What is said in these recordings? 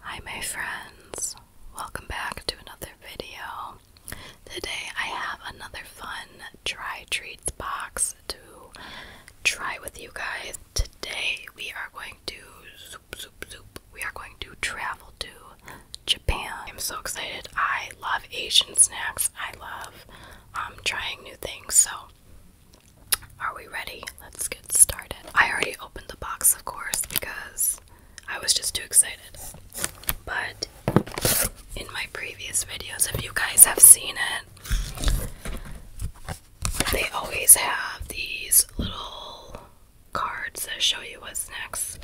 Hi my friends, welcome back to another video. Today I have another fun try treats box to try with you guys. Today we are going to We are going to travel to Japan. I'm so excited. I love Asian snacks. I love um, trying new things. So are we ready? Let's get started. I already opened the box, of course, because I was just too excited. But in my previous videos, if you guys have seen it, they always have these little cards that show you what snacks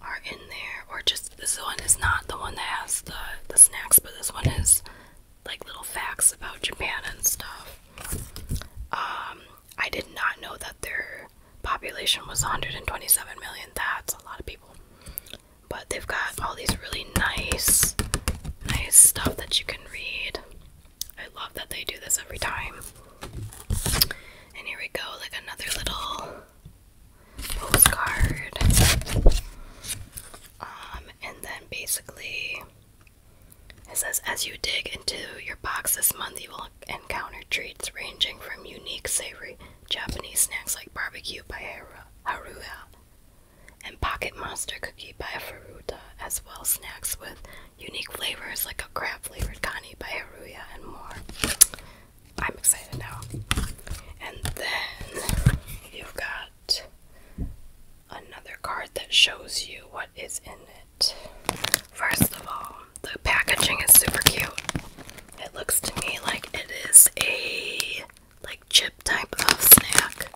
are in there. Or just this one is not the one that has the, the snacks, but this one is like little facts about Japan and stuff. Um, I did not know that their population was 127 million. That's a lot of people. But they've got all these really nice, nice stuff that you can read. I love that they do this every time. And here we go, like another little postcard. Um, and then basically it says, as you dig into your box this month, you will encounter treats ranging from unique savory Japanese snacks like barbecue by Haruya and pocket monster cookie by Furuta, as well snacks with unique flavors like a crab flavored kani by Haruya and more. I'm excited now. And then you've got another card that shows you what is in it. First of all, the packaging is super cute. It looks to me like it is a like chip type of snack.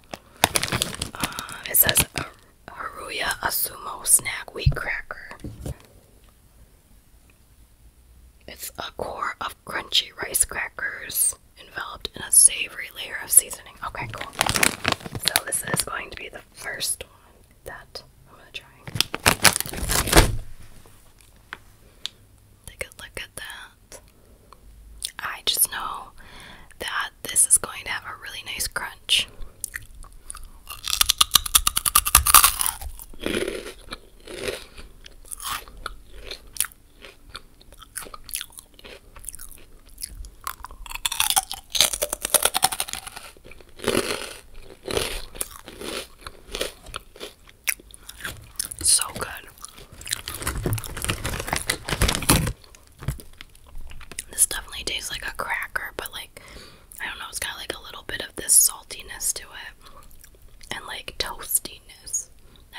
Uh, it says Haruya Asumo Snack Wheat Cracker. It's a core of crunchy rice crackers enveloped in a savory layer of seasoning. Okay, cool. So this is going to be the first one that I'm gonna try. Take a look at that. I just know that this is going to have a really nice crunch. It's so good. This definitely tastes like a cracker, but like I don't know, it's got like a little bit of this saltiness to it and like toasty. I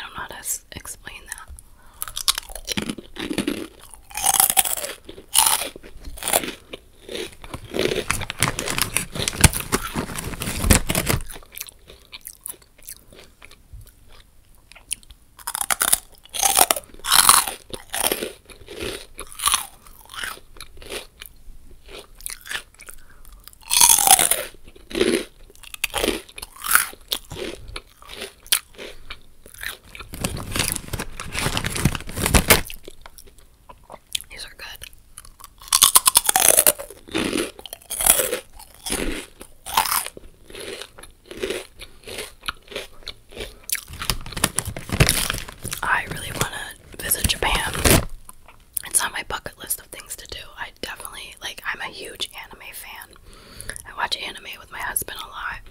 don't know how to explain that. These are good. I really want to visit Japan. It's on my bucket list of things to do. I definitely like I'm a huge anime fan. I watch anime with my husband a lot.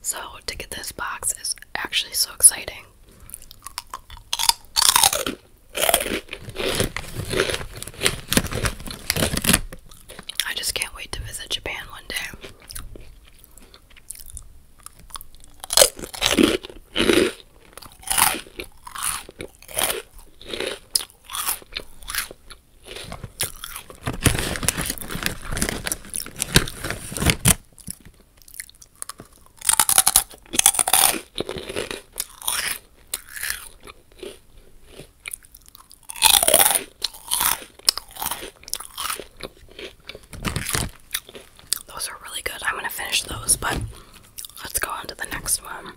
So to get this box is actually so exciting. I just can't wait to visit Japan one day. Those are really good. I'm going to finish those, but Let's go on to the next one.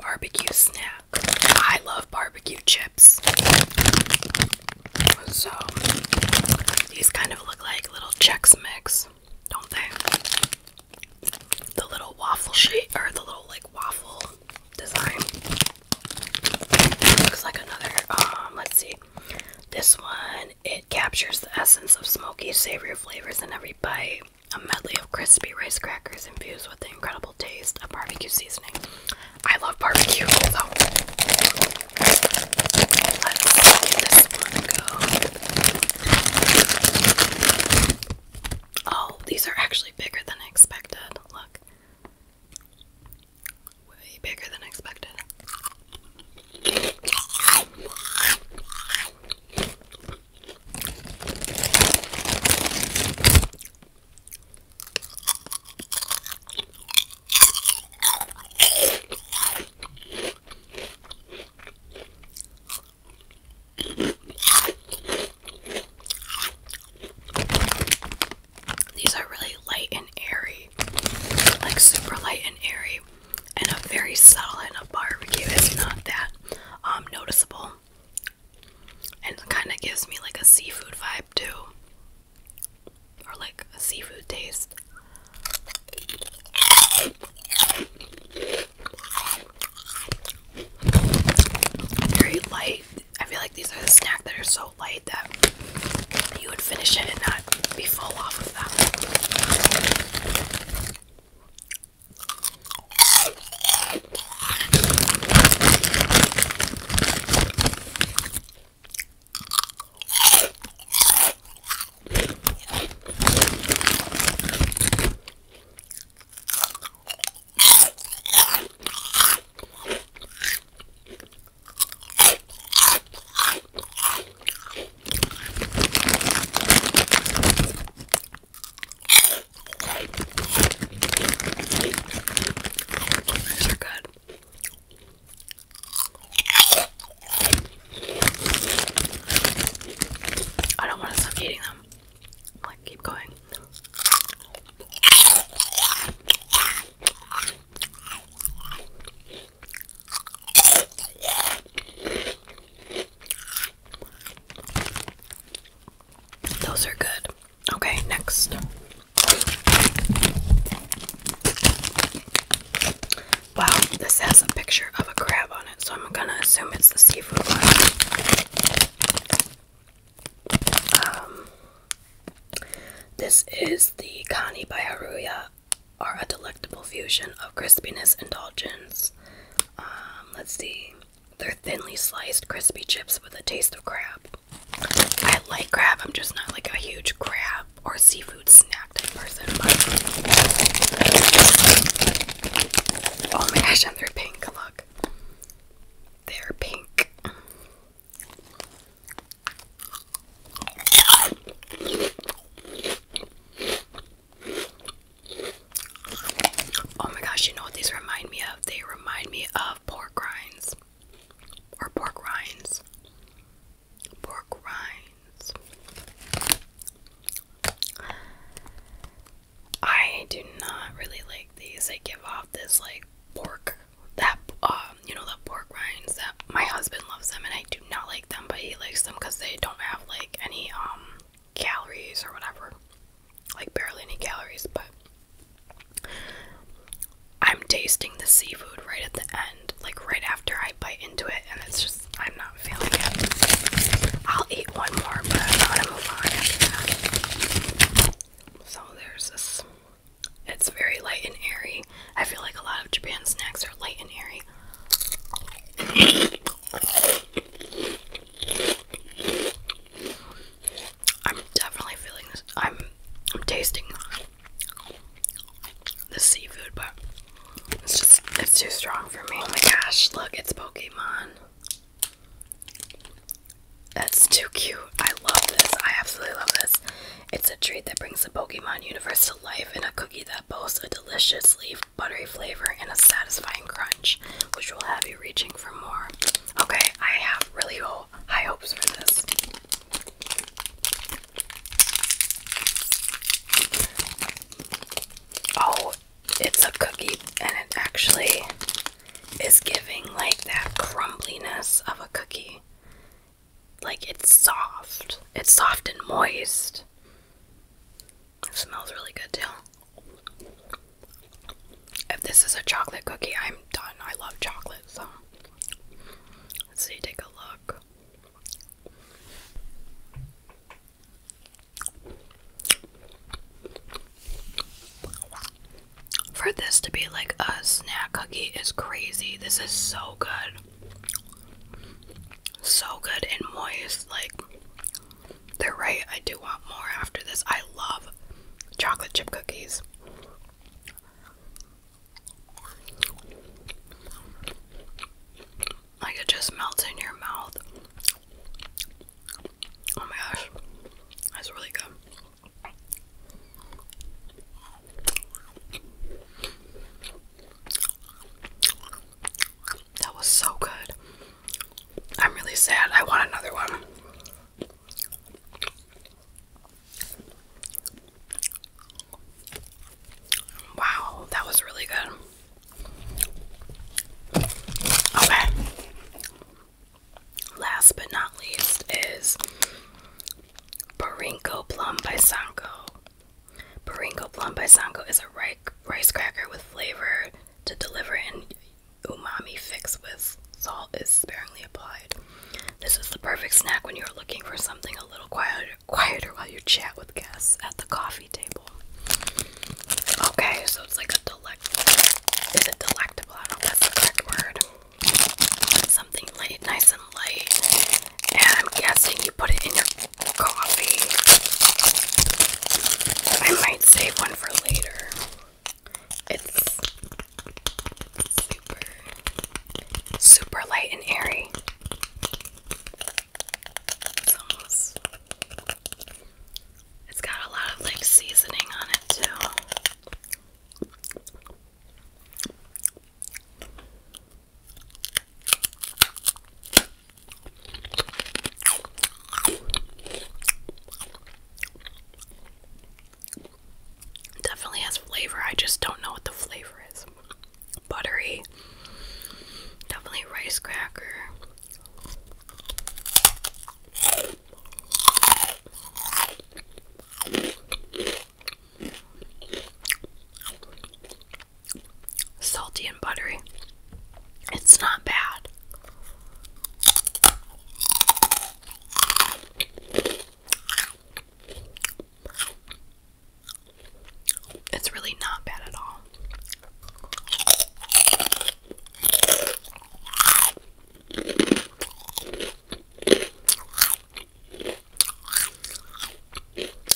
Barbecue snack. I love barbecue chips. So these kind of look like little Chex Mix, don't they? The little waffle shape or the little like waffle design. Looks like another um let's see. This one it captures the essence of smoky, savory flavors in every bite. A medley of crispy rice crackers infused with the incredible taste of barbecue seasoning. I love barbecue, so Oh, these are actually bigger than expected. Look way bigger than expected. These are really light and airy, like super light and airy, and a very subtle. And a barbecue is not that um, noticeable, and kind of gives me like a seafood vibe too, or like a seafood taste. Very light. I feel like these are the snack that are so so light that you would finish it and not be full off of that. These are good. I don't want to stop eating them. like, keep going. Those are good. Okay, next. Wow, this has a picture of a crab on it, so I'm gonna assume it's the seafood one. Um, this is the Kani by are a delectable fusion of crispiness and indulgence. Um, let's see. They're thinly sliced crispy chips with a taste of crab. I like crab, I'm just not like a huge crab or seafood snack type person. But... Oh my gosh, and they're pink, look. They're pink. Oh my gosh, you know what these remind me of? They remind me of pork rinds. Or pork rinds. Pork rinds. I do not really like these. They give off this like pork that um you know the pork rinds that my husband loves them and I do not like them, but he likes them because they don't have like any um calories or whatever, like barely any calories. But I'm tasting the seafood right at the end, like right after I bite into it, and it's just I'm not feeling it. I'll eat one more, but I'm gonna move on So there's this. It's very light and airy. I feel like a lot of Japan snacks are light and airy. I'm definitely feeling this. I'm, I'm tasting the seafood, but it's just it's too strong for me. Oh my gosh! Look, it's Pokemon. That's too cute. I love this. I absolutely love this. It's a treat that brings the Pokemon universe to life in a cookie that boasts a deliciously buttery flavor and a satisfying crunch, which will have you reaching for more. Okay, I have really high hopes for this. Oh, it's a cookie and it actually is giving like that crumbliness of a cookie. Like it's soft. It's soft and moist. It smells really good too. If this is a chocolate cookie, I'm done. I love chocolate, so let's see, take a look. For this to be like a snack cookie is crazy. This is so good. So good and moist. Like, they're right. I do want more after this. I love chocolate chip cookies. Like it just melts in your mouth. Oh my gosh, that's really good. That was so good. I'm really sad. I want another one. Wow, that was really good. Okay. Last but not least is Parinko Plum by Sanko. Parinko Plum by Sanko is a rice cracker with flavor to deliver an umami fix with salt is sparingly applied. This is the perfect snack when you're looking for something a little quieter while you chat with guests at the coffee table. Okay, so it's like a delectable. Is it delectable? I don't know if that's the correct word. Something light, nice and light. And I'm guessing you put it in your coffee. I might save one for later. It's super, super light and airy sauce. It's got a lot of like seasoning on it too. Definitely has flavor. I just don't know what the flavor is buttery. Definitely rice cracker. Salty and buttery. It's not bad. It's really not bad at all.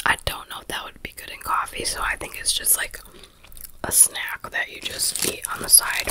I don't know if that would be good in coffee, so I think it's just like a snack that you just eat on the side.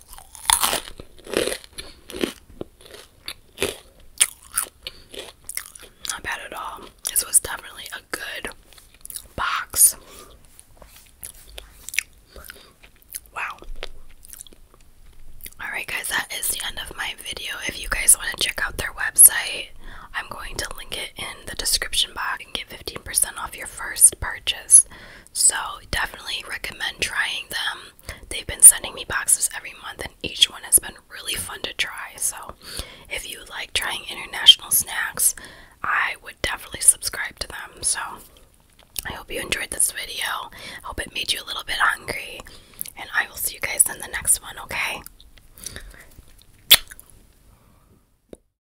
Not bad at all. This was definitely a good box. Wow. Alright, guys, that is the end of my video. If you guys want to check out their website, I'm going to link it in the description box and get 15% off your first purchase. So, definitely recommend trying them. They've been sending me boxes every month, and each one has been really fun to try. So, if you like trying international snacks, I would definitely subscribe to them. So, I hope you enjoyed this video. I hope it made you a little bit hungry. And I will see you guys in the next one, okay?